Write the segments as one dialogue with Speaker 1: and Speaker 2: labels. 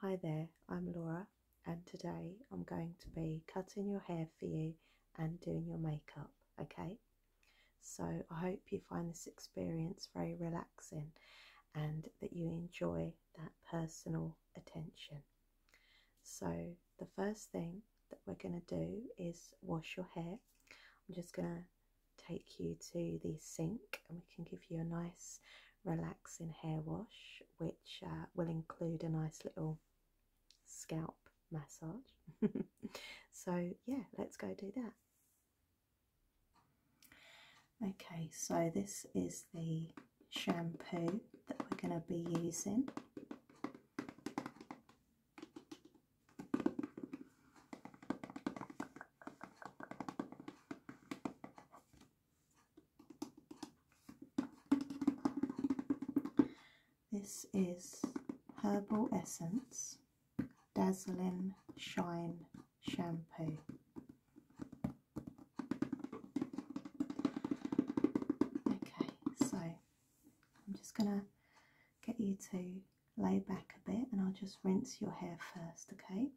Speaker 1: Hi there, I'm Laura, and today I'm going to be cutting your hair for you and doing your makeup, okay? So I hope you find this experience very relaxing and that you enjoy that personal attention. So the first thing that we're going to do is wash your hair. I'm just going to take you to the sink and we can give you a nice relaxing hair wash which uh, will include a nice little scalp massage so yeah let's go do that okay so this is the shampoo that we're going to be using this is Herbal Essence Dazzling Shine Shampoo. Okay, so I'm just going to get you to lay back a bit and I'll just rinse your hair first, okay?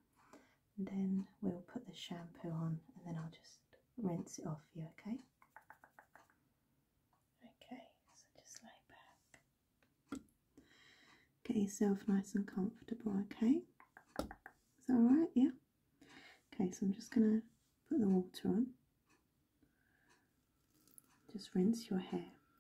Speaker 1: then we'll put the shampoo on and then I'll just rinse it off for you, okay? Okay, so just lay back. Get yourself nice and comfortable, okay? Is that alright? Yeah? Okay, so I'm just going to put the water on. Just rinse your hair.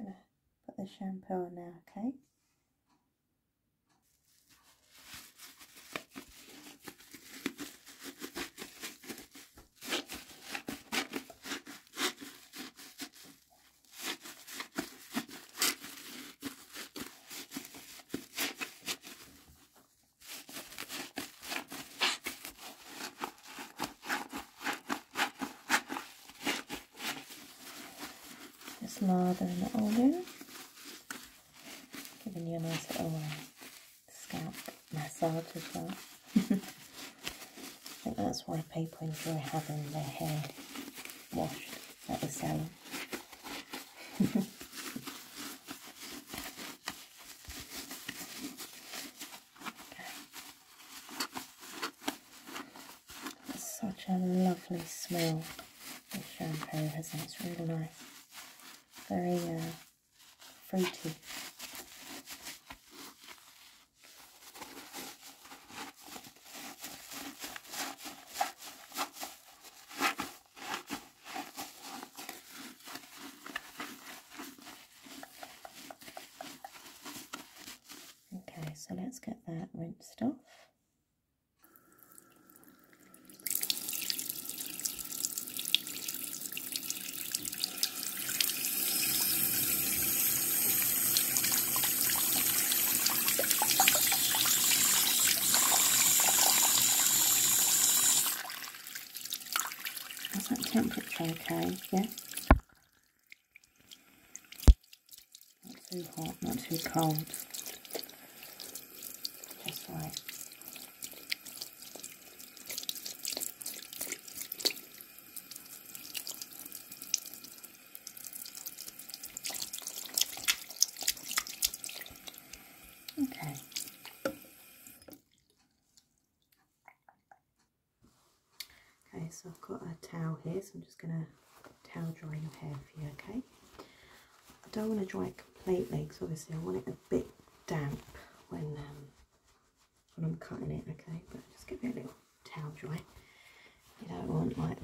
Speaker 1: I'm gonna put the shampoo on now, okay? Just lather in the oven, giving you a nice little uh, scalp massage as well. I think that's why people enjoy having their hair washed at the salon. Okay. Such a lovely smell this shampoo has it? It's really nice. Very uh, fruity. Okay, so let's get that rinsed off. Is that temperature okay? Yeah? Not too hot, not too cold. Just right. Okay. Okay, so I've got a towel here, so I'm just going to towel dry your hair for you, okay? I don't want to dry it completely because obviously I want it a bit damp when, um, when I'm cutting it, okay? But just give it a little towel dry. You don't want like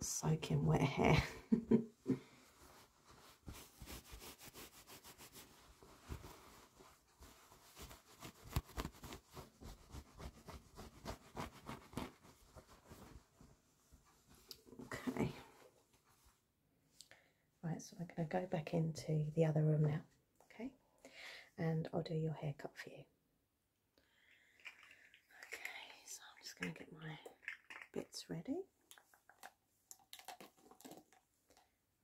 Speaker 1: soaking wet hair. Okay. Right, so I'm going to go back into the other room now, okay? And I'll do your haircut for you. Okay, so I'm just going to get my bits ready.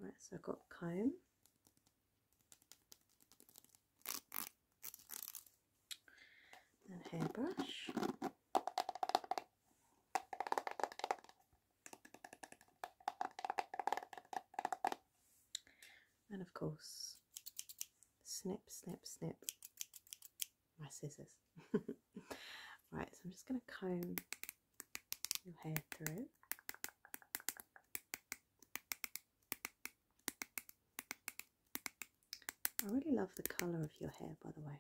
Speaker 1: Right, so I've got comb. And hairbrush. And of course, snip, snip, snip, my scissors. right, so I'm just going to comb your hair through. I really love the colour of your hair, by the way.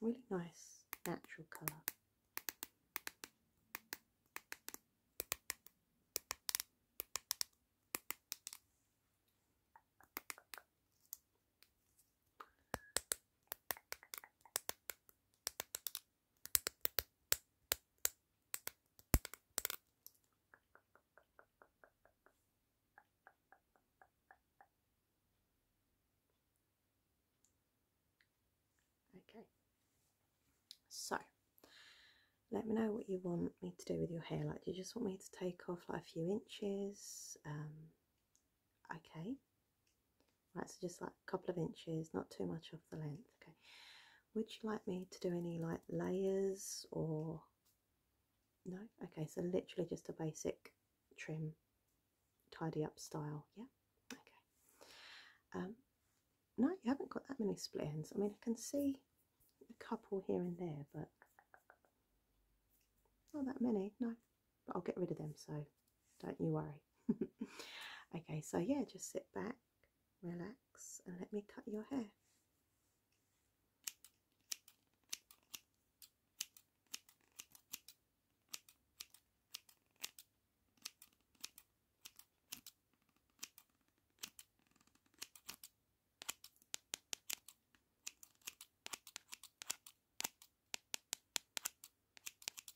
Speaker 1: Really nice, natural colour. Okay, so let me know what you want me to do with your hair. Like, do you just want me to take off like a few inches? Um, okay, Right, so just like a couple of inches, not too much of the length. Okay. Would you like me to do any like layers or no? Okay, so literally just a basic trim, tidy up style. Yeah. Okay. Um, no, you haven't got that many split I mean, I can see a couple here and there, but not that many. No. I'll get rid of them so don't you worry okay so yeah just sit back relax and let me cut your hair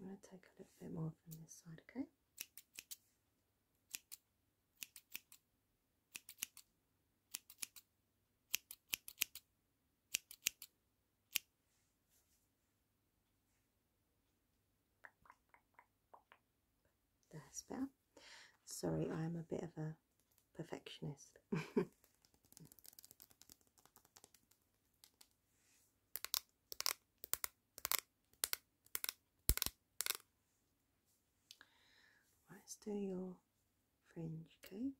Speaker 1: I'm going to take a little bit more from this side, okay? That's better. Sorry, I am a bit of a perfectionist. Let's do your fringe, okay?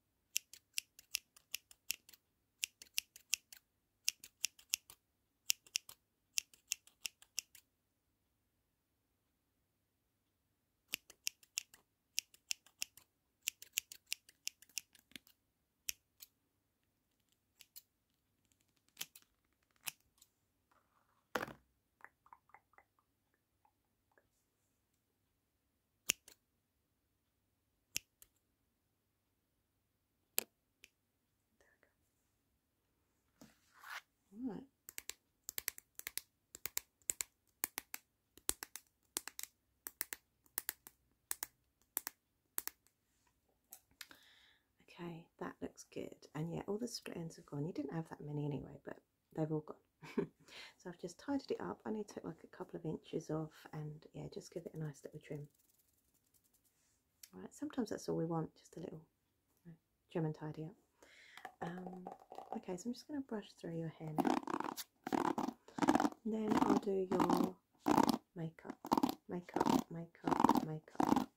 Speaker 1: There we go. All right. Okay, that looks good. And yeah, all the split ends have gone. You didn't have that many anyway, but they've all gone. so I've just tidied it up. I need to take like a couple of inches off and yeah, just give it a nice little trim. All right, sometimes that's all we want, just a little gem and tidy up. Um, okay, so I'm just going to brush through your hair now. then I'll do your makeup, makeup, makeup, makeup.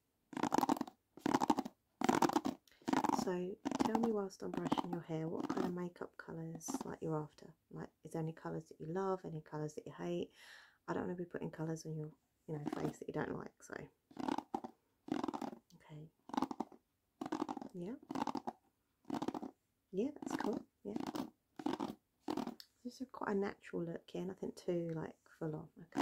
Speaker 1: So tell me whilst I'm brushing your hair, what kind of makeup colours like you're after? Like, is there any colours that you love? Any colours that you hate? I don't want to be putting colours on your, you know, face that you don't like. So, okay. Yeah. Yeah, that's cool. Yeah. This is quite a natural look here, I think too like full on. Okay.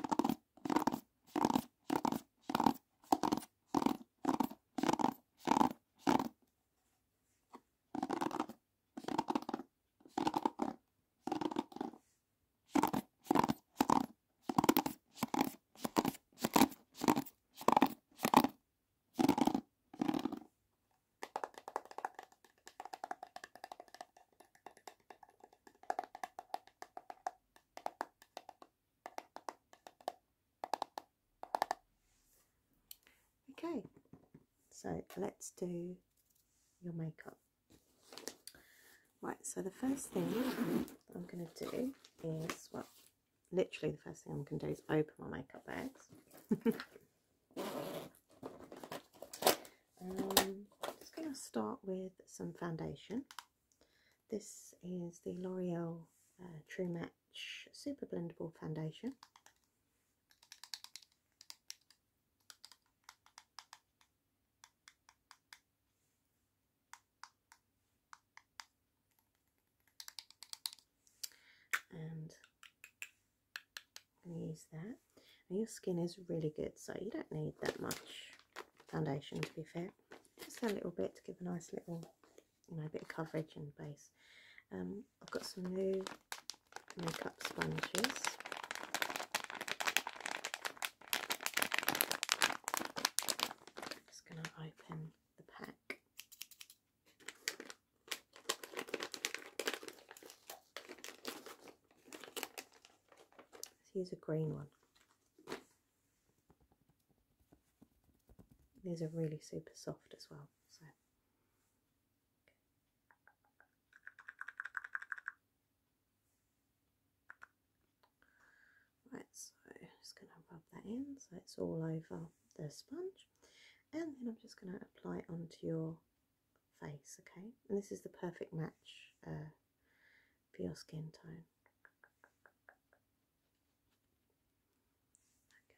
Speaker 1: Okay, so let's do your makeup. Right, so the first thing I'm going to do is, well, literally the first thing I'm going to do is open my makeup bags. um, just going to start with some foundation. This is the L'Oreal uh, True Match Super Blendable Foundation and use that. your skin is really good, so you don't need that much foundation to be fair. Just a little bit to give a nice little, you know, bit of coverage and base. Um, I've got some new makeup sponges just going to open the pack. Let's use a green one. These are really super soft as well. So. Right, so I'm just going to rub that in so it's all over the sponge. And then I'm just going to apply it onto your face, okay? And this is the perfect match uh, for your skin tone. Okay.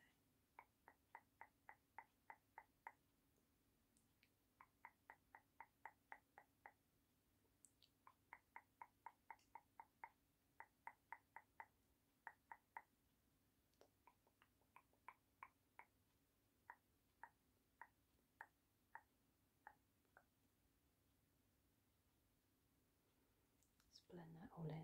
Speaker 1: Just blend that all in.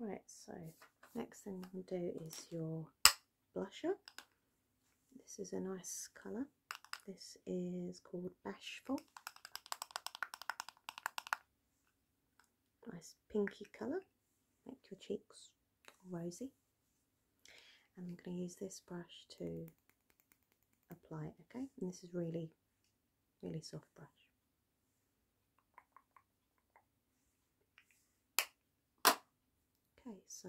Speaker 1: Right, so next thing I'm going to do is your blusher. This is a nice colour. This is called Bashful. Nice pinky colour. Make your cheeks rosy. And I'm going to use this brush to apply it, okay? And this is really, really soft brush. Okay, so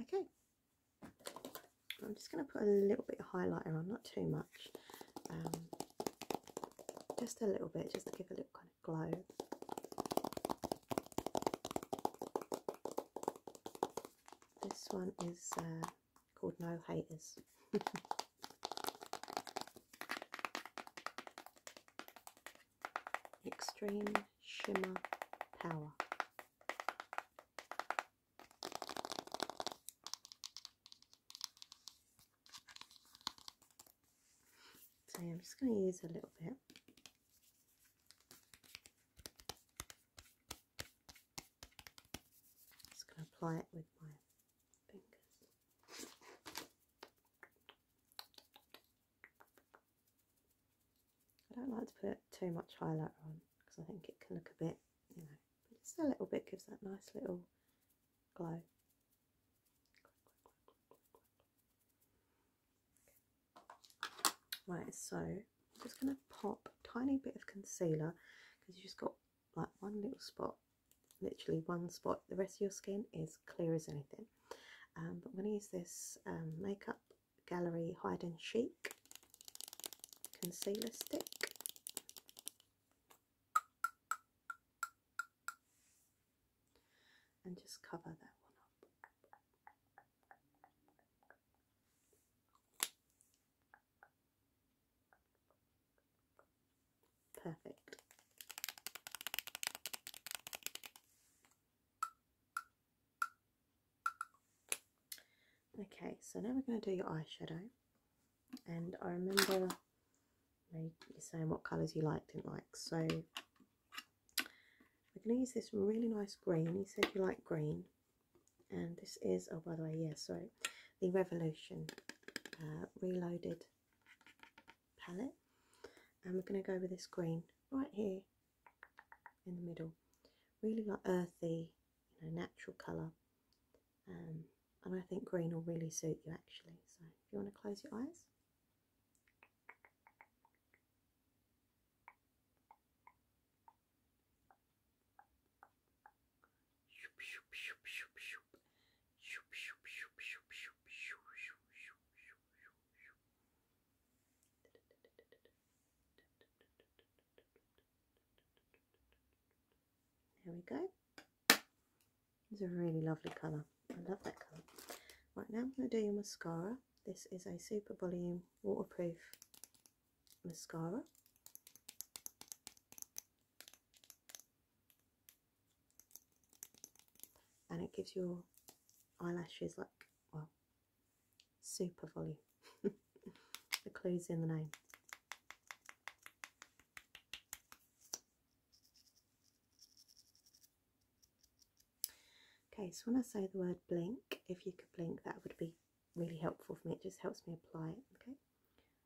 Speaker 1: Okay, I'm just going to put a little bit of highlighter on, not too much, um, just a little bit, just to give a little kind of glow. This one is uh, called No Haters. Extreme Shimmer Power. So I'm just going to use a little bit. Just going to apply it with my I don't like to put too much highlighter on because I think it can look a bit, you know, but just a little bit gives that nice little glow. Right, so I'm just going to pop a tiny bit of concealer because you just got like one little spot literally one spot the rest of your skin is clear as anything um, but I'm going to use this um, makeup gallery hide and chic concealer stick and just cover that one up Perfect. Okay, so now we're going to do your eyeshadow. And I remember you, saying what colours you liked and liked. So we're going to use this really nice green. You said you like green. And this is, oh, by the way, yes, sorry the Revolution uh, Reloaded palette. And we're going to go with this green right here in the middle. Really like earthy, you know, natural colour. Um, and I think green will really suit you actually. So if you want to close your eyes. There we go. It's a really lovely colour. I love that colour. Right now I'm going to do your mascara. This is a super volume waterproof mascara and it gives your eyelashes like well super volume the clues in the name okay so when I say the word blink if you could blink that would be really helpful for me it just helps me apply it okay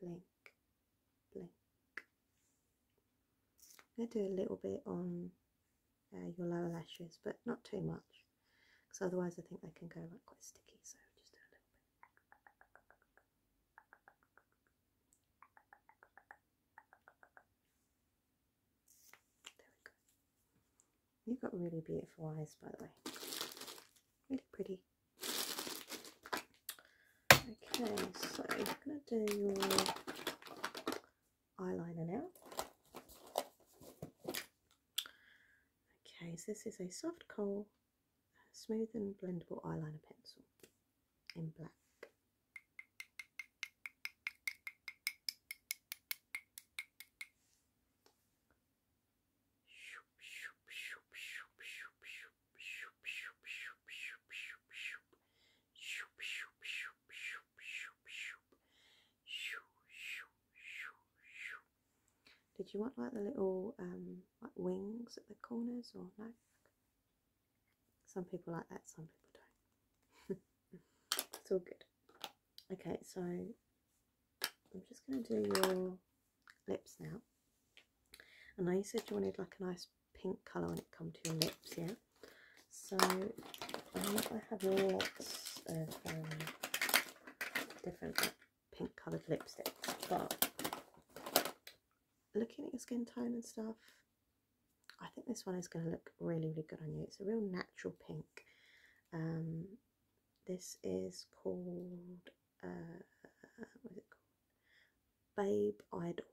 Speaker 1: blink, blink. I'm going to do a little bit on uh, your lower lashes, but not too much, because otherwise I think they can go like quite sticky. So just do a little bit. There we go. You've got really beautiful eyes, by the way. Really pretty. Okay, so I'm going to do your eyeliner now. Okay, so this is a soft coal, smooth and blendable eyeliner pencil in black. Did you want like the little um, like wings at the corners or no? Some people like that, some people don't. it's all good. Okay, so I'm just going to do your lips now. and I said you wanted like a nice pink colour when it come to your lips, yeah? So I have lots of um, different pink coloured lipsticks, but looking at your skin tone and stuff, I think this one is going to look really, really good on you. It's a real natural pink. Um, this is called uh, what is it called? Babe Idol,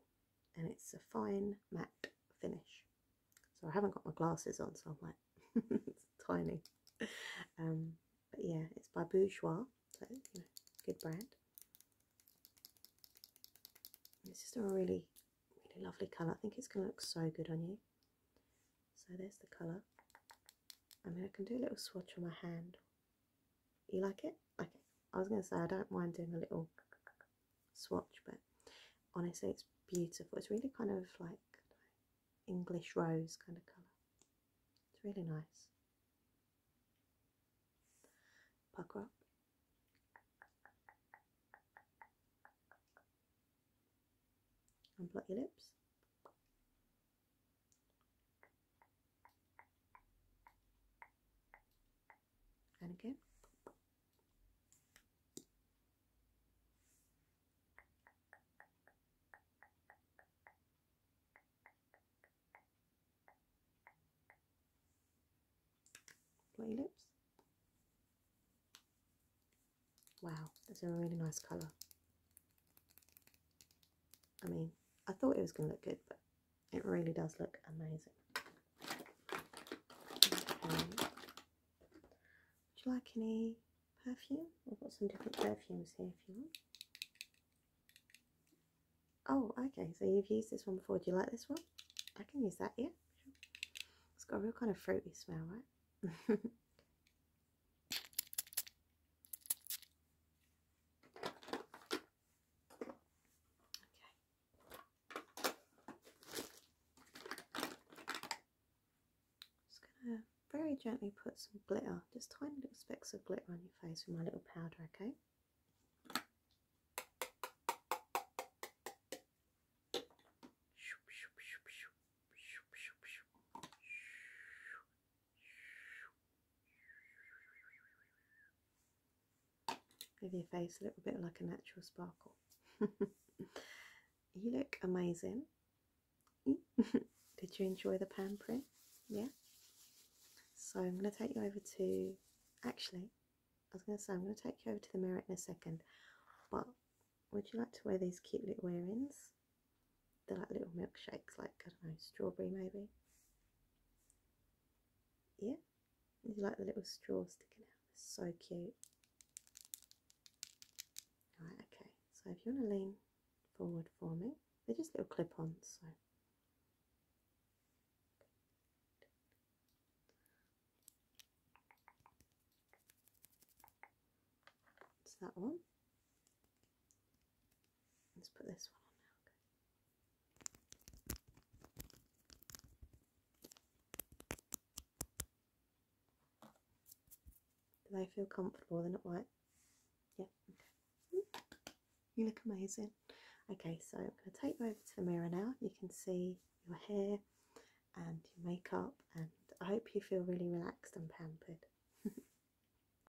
Speaker 1: and it's a fine matte finish. So I haven't got my glasses on, so I'm like tiny. Um, but yeah, it's by Bourjois, so good brand. It's just a really, really lovely colour. I think it's going to look so good on you. So there's the colour. I mean, I can do a little swatch on my hand you like it? Okay. I was going to say, I don't mind doing a little swatch, but honestly, it's beautiful. It's really kind of like English rose kind of colour. It's really nice. Pucker up. And blot your lips. And again. Play lips. Wow, that's a really nice colour. I mean, I thought it was going to look good, but it really does look amazing. Okay. Would you like any perfume? We've got some different perfumes here if you want. Oh, okay, so you've used this one before. Do you like this one? I can use that, yeah. It's got a real kind of fruity smell, right? Just gonna very gently put some glitter, just tiny little specks of glitter on your face with my little powder, okay? Give your face a little bit like a natural sparkle. you look amazing. Did you enjoy the pan Yeah? So I'm going to take you over to, actually, I was going to say, I'm going to take you over to the mirror in a second, but would you like to wear these cute little earrings? They're like little milkshakes, like, I don't know, strawberry maybe. Yeah, you like the little straw sticking out. so cute. Right, okay, so if you want to lean forward for me, they're just little clip ons, so. It's that one. Let's put this one on now. Do they feel comfortable? They're not white? Yeah, hmm? You look amazing. Okay, so I'm going to take you over to the mirror now. You can see your hair and your makeup, and I hope you feel really relaxed and pampered.